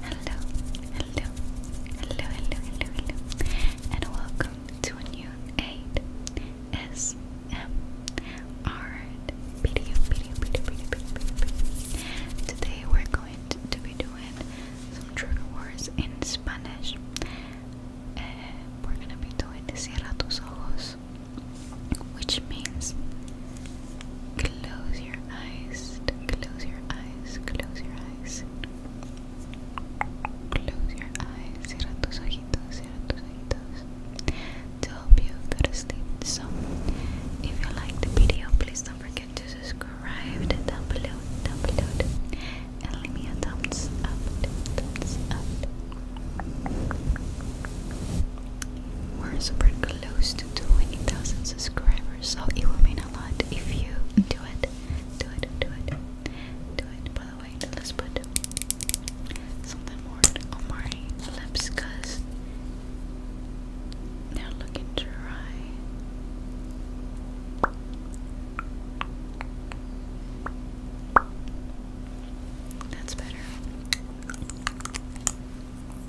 Hello, hello, hello, hello, hello, hello, and welcome to new 8SMR video, video, video, video, video, video. Today we're going to, be doing some trigger words in Spanish. Eh, we're gonna be doing Cierra tus ojos, which means Close your eyes. Close your eyes. Close your eyes. Close your eyes. Cierra tus ojitos. Cierra tus ojitos. To help you go to sleep. So, if you like the video, please don't forget to subscribe down below. Down below. And leave me a thumbs up. Thumbs up. We're super close to 20,000 subscribers, so it will mean a lot if you do it. Do it, do it, do it. By the way, let's put something more on my they're looking dry. That's better.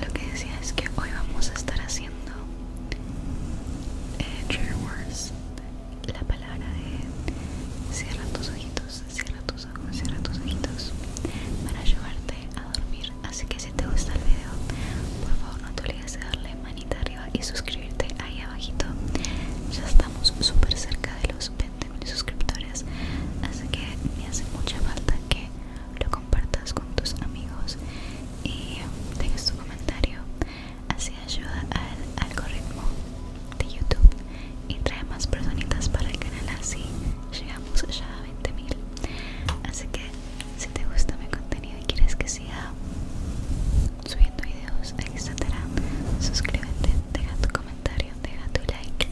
Lo que decía es que hoy vamos a estar haciendo eh, la palabra de cierra tus ojitos, cierra tus ojos, cierra tus ojitos para llevarte a dormir. Así que si te gusta el video, por favor no te olvides de darle manita arriba y suscribirte ahí abajito. Ya estamos súper cerca de los 20.000 suscriptores, así que me hace mucha falta que lo compartas con tus amigos y dejes tu comentario Así ayuda al algoritmo de YouTube y trae más personitas para el canal. Así llegamos ya a 20.000. Así que si te gusta mi contenido y quieres que siga subiendo videos, etcétera, suscríbete, deja tu comentario, deja tu like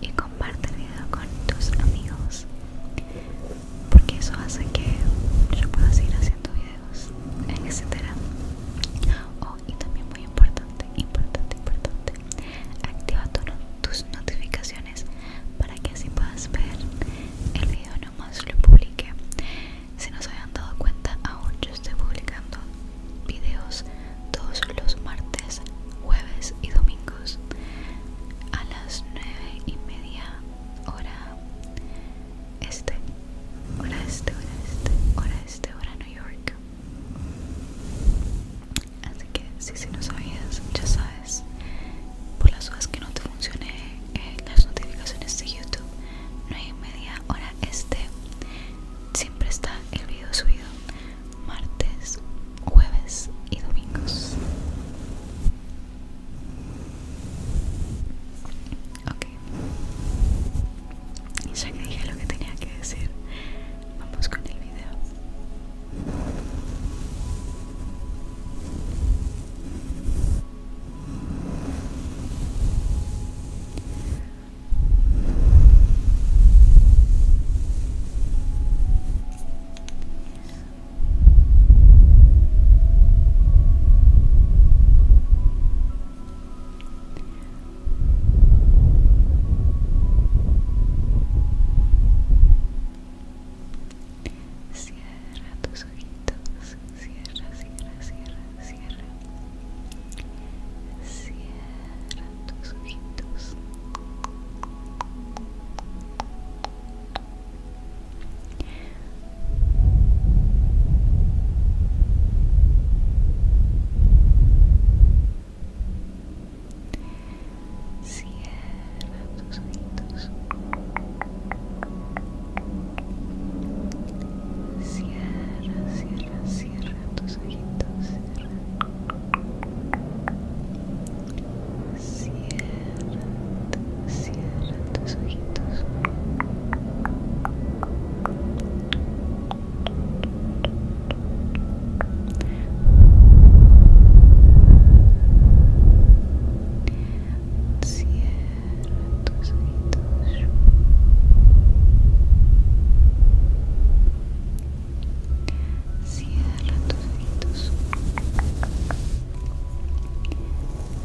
y comparte el video con tus amigos porque eso hace que yo pueda seguir haciendo videos etcétera. Oh, y también muy importante, importante, importante, activa tus notificaciones para que así puedas ver el video más lo publique. Si no se habían dado cuenta, aún yo estoy publicando videos todos los martes, jueves y domingos a las nueve y media hora este, hora este, hora este, hora este, hora New York. Así que si, si no sabías, ya sabes. Por las horas que no te funcione eh, las notificaciones de YouTube, no hay media hora este. Siempre está el video subido martes, jueves y domingos. Ok. Y ya que dije lo que tenía que decir, vamos con el video. Cierra tus ojitos, cierra, cierra, cierra, cierra. Cierra tus ojitos. Cierra tus ojitos Cierra, cierra, cierra tus ojitos. Cierra. Cierra, cierra tus ojitos. Cierra tus ojitos. Cierra tus ojitos.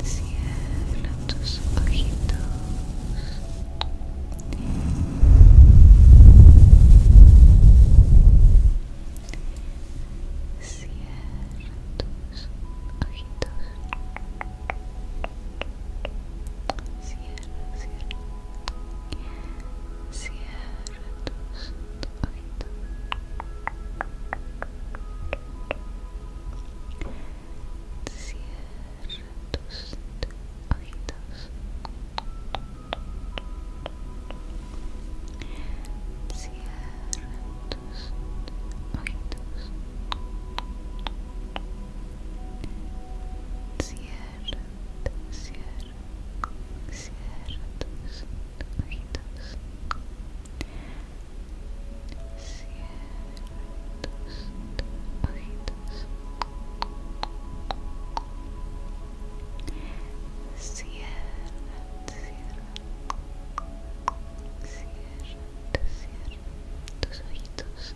Cierra tus ojitos. Cierra tus ojitos. Cierra, cierra. Cierra tus ojitos. Cierra tus ojitos. Cierra tus ojitos. Cierra, cierra, cierra tus ojitos. Cierra ojitos cierra, cierra cierra, cierra tus ojitos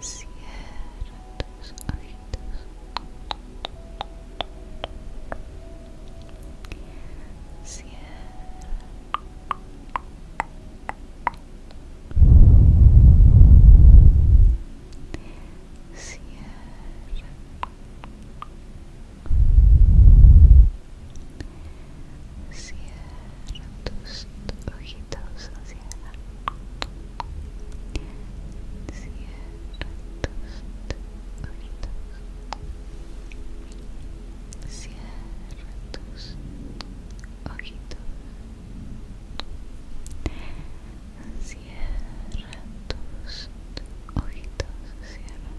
Cierra tus ojitos. Cierra. Cierra. Cierra tus ojitos, cierra. Cierra tus ojitos. Cierra tus ojitos. Cierra tus ojitos, cierra.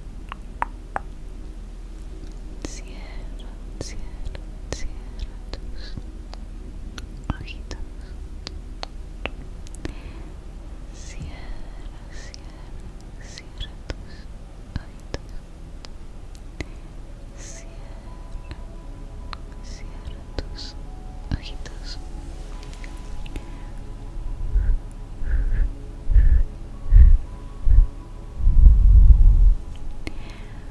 Cierra, cierra, cierra tus ojitos. Cierra, cierra, ojitos. Cierra, ojitos.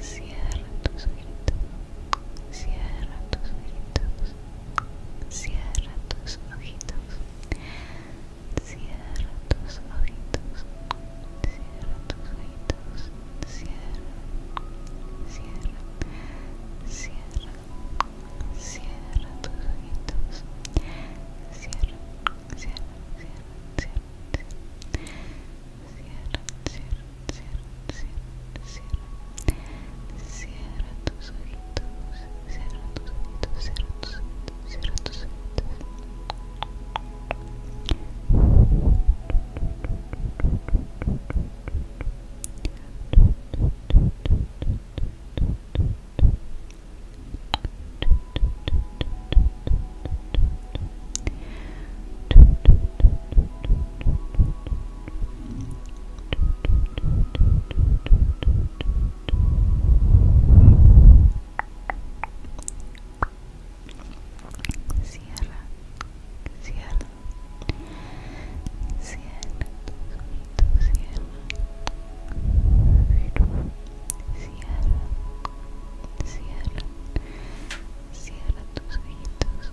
Cierra tus ojitos cierra tus ojitos Cierra tus ojitos. Cierra tus ojitos. Cierra tus ojitos. Cierra. Cierra. Cierra. Cierra tus ojitos. Cierra. Cierra. Cierra. Cierra. Cierra. Cierra cierra tus cierra cierra cierra tus Sierra, Sierra, Sierra, Sierra, Sierra, Sierra, Sierra tus ojitos,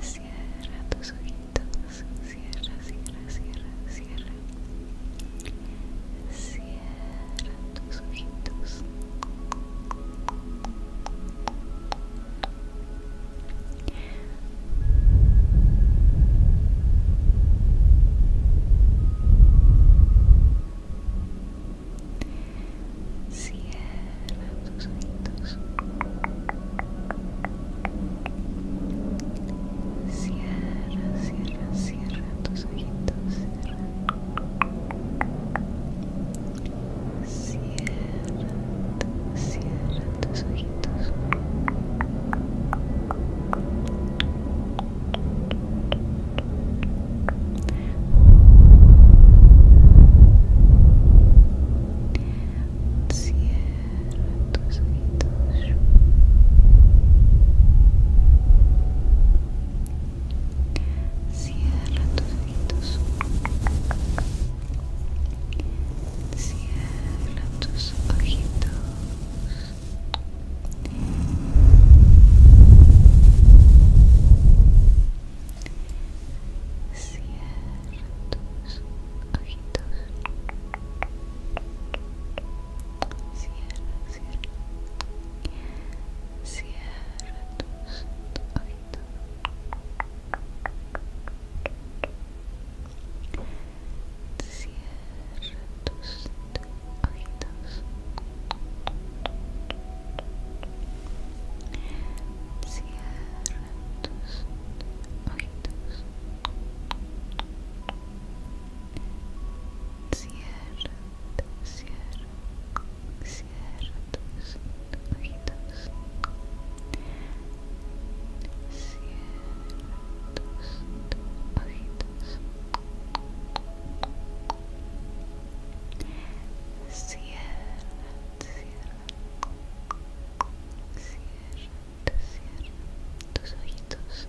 Cierra tus ojitos, cierra, cierra, cierra, cierra. Cierra tus ojitos. Cierra tus ojitos. Cierra, cierra, cierra tus ojitos. Cierra. Cierra, tus ojitos. Cierra tus ojitos. Cierra tus ojitos. Cierra tus ojitos tus ojitos cierra, cierra cierra tus ojitos cierra tus ojitos Cierra tus ojitos. Cierra, cierra, tus Cierra, cierra, cierra, cierra, cierra, tus ojitos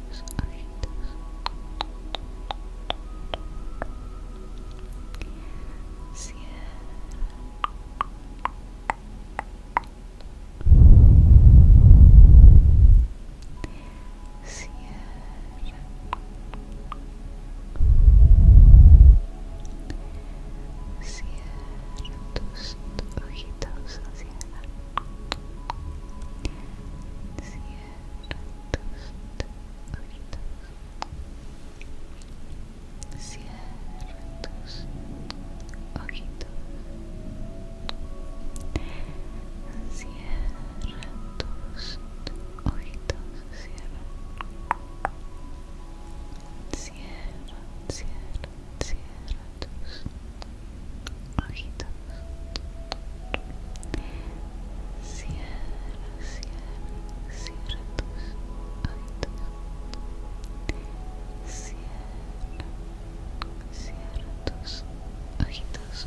tus ojitos cierra cierra Cierra tus ojitos, cierra Cierra tus ojitos. Cierra tus ojitos. Cierra. Cierra, cierra, cierra tus ojitos cierra, cierra, cierra ojitos cierra, cierra ojitos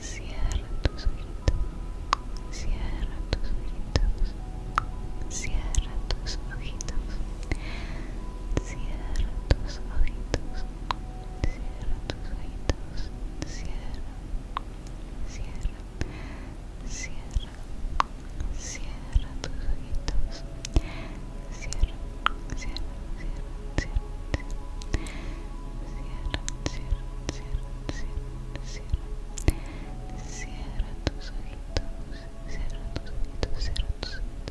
Cierra tus ojitos, cierra tus ojitos, cierra tus ojitos, Cierra tus ojitos, cierra tus ojitos, cierra, cierra, cierra, cierra tus ojitos, cierra, cierra, cierra, cierra, cierra, cierra, cierra, cierra, cierra, cierra tus ojitos, cierra cierra Cierra cierra cierra cierra cierra cierra cierra cierra cierra cierra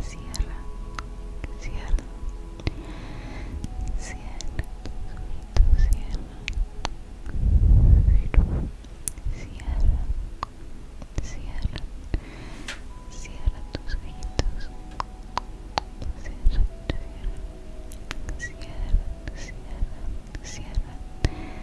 Cierra, cierra, cierra cierra, cierra, cierra, cierra tus ojitos, cierra, cierra, cierra, cierra, cierra,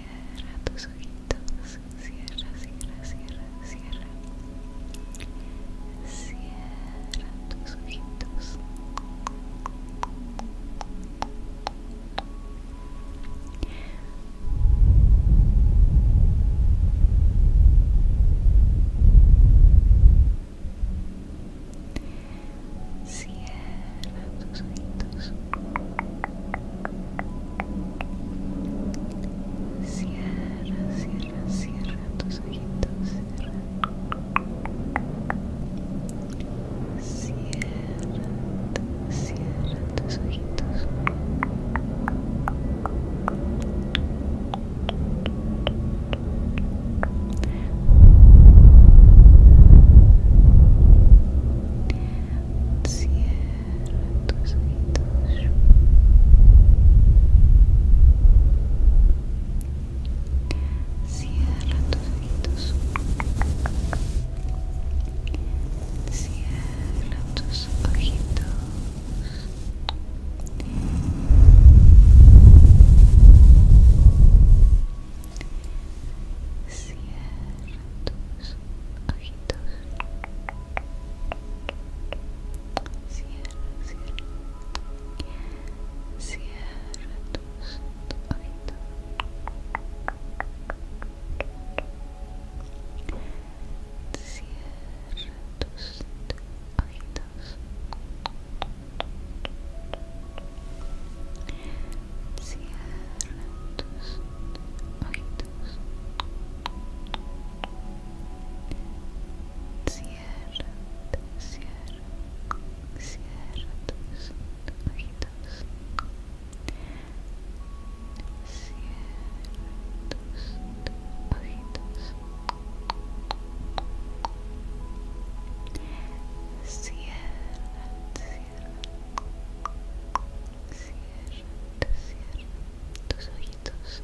Cierra tus ojitos. Cierra, cierra, cierra, cierra. Cierra tus ojitos. Cierra tus ojitos. Cierra, cierra, cierra tus ojitos. Cierra. Cierra, cierra tus ojitos. Cierra tus ojitos. Cierra tus ojitos. Cierra tus ojitos. Cierra tus ojitos. Cierra, cierra. Cierra tus ojitos. Cierra tus ojitos. Cierra tus ojitos. Cierra, cierra, cierra tus ojitos. Cierra tus ojitos. Cierra, cierra, cierra tus ojitos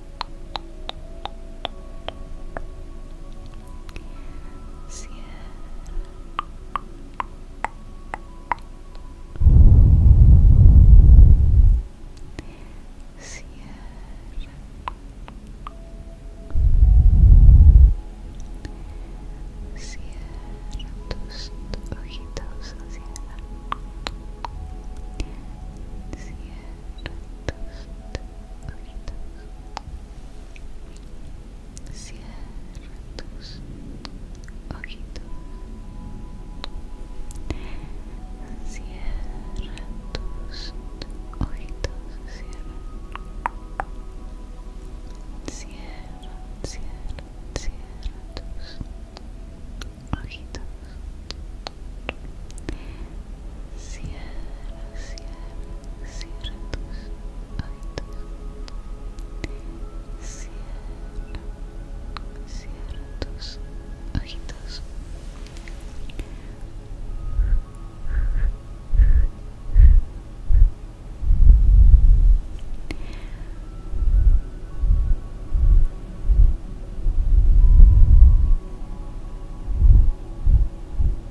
Cierra. Cierra. Cierra tus ojitos, cierra. Cierra cierra tus ojitos cierra tus ojitos cierra cierra cierra tus ojitos Cierra, cierra, cierra tus ojitos. Cierra, cierra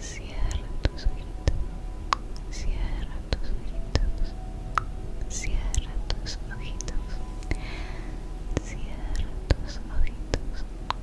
Cierra tus ojitos, cierra tus ojitos, cierra tus ojitos, cierra tus ojitos,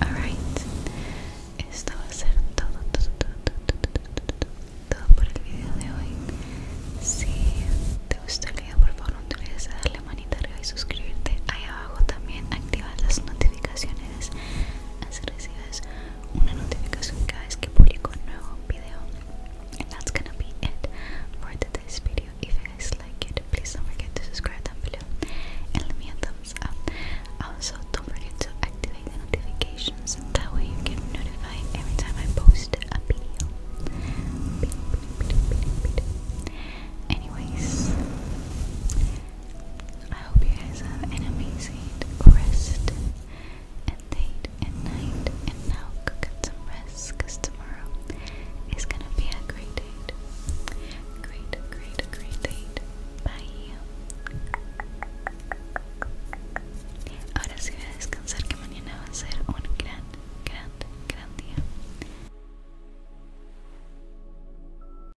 Alright, esto va a ser todo, todo, por el video de hoy. Si te gustó el video, por favor no te olvides de darle manita arriba y suscribirte. Ahí abajo también activas las notificaciones así recibes una notificación cada vez que publico un nuevo video. And that's gonna be it for today's video. If you guys like it, please don't forget to subscribe down below and leave me a thumbs up. Also, don't forget to activate the notifications. That way, you get notified every time I post a video. Anyways, I hope you guys have an amazing rest and date and night. And now go get some rest because tomorrow is going to be a great date. Great, great, great date. Bye. Ahora sí voy a descansar que mañana va a ser un gran, gran, gran día.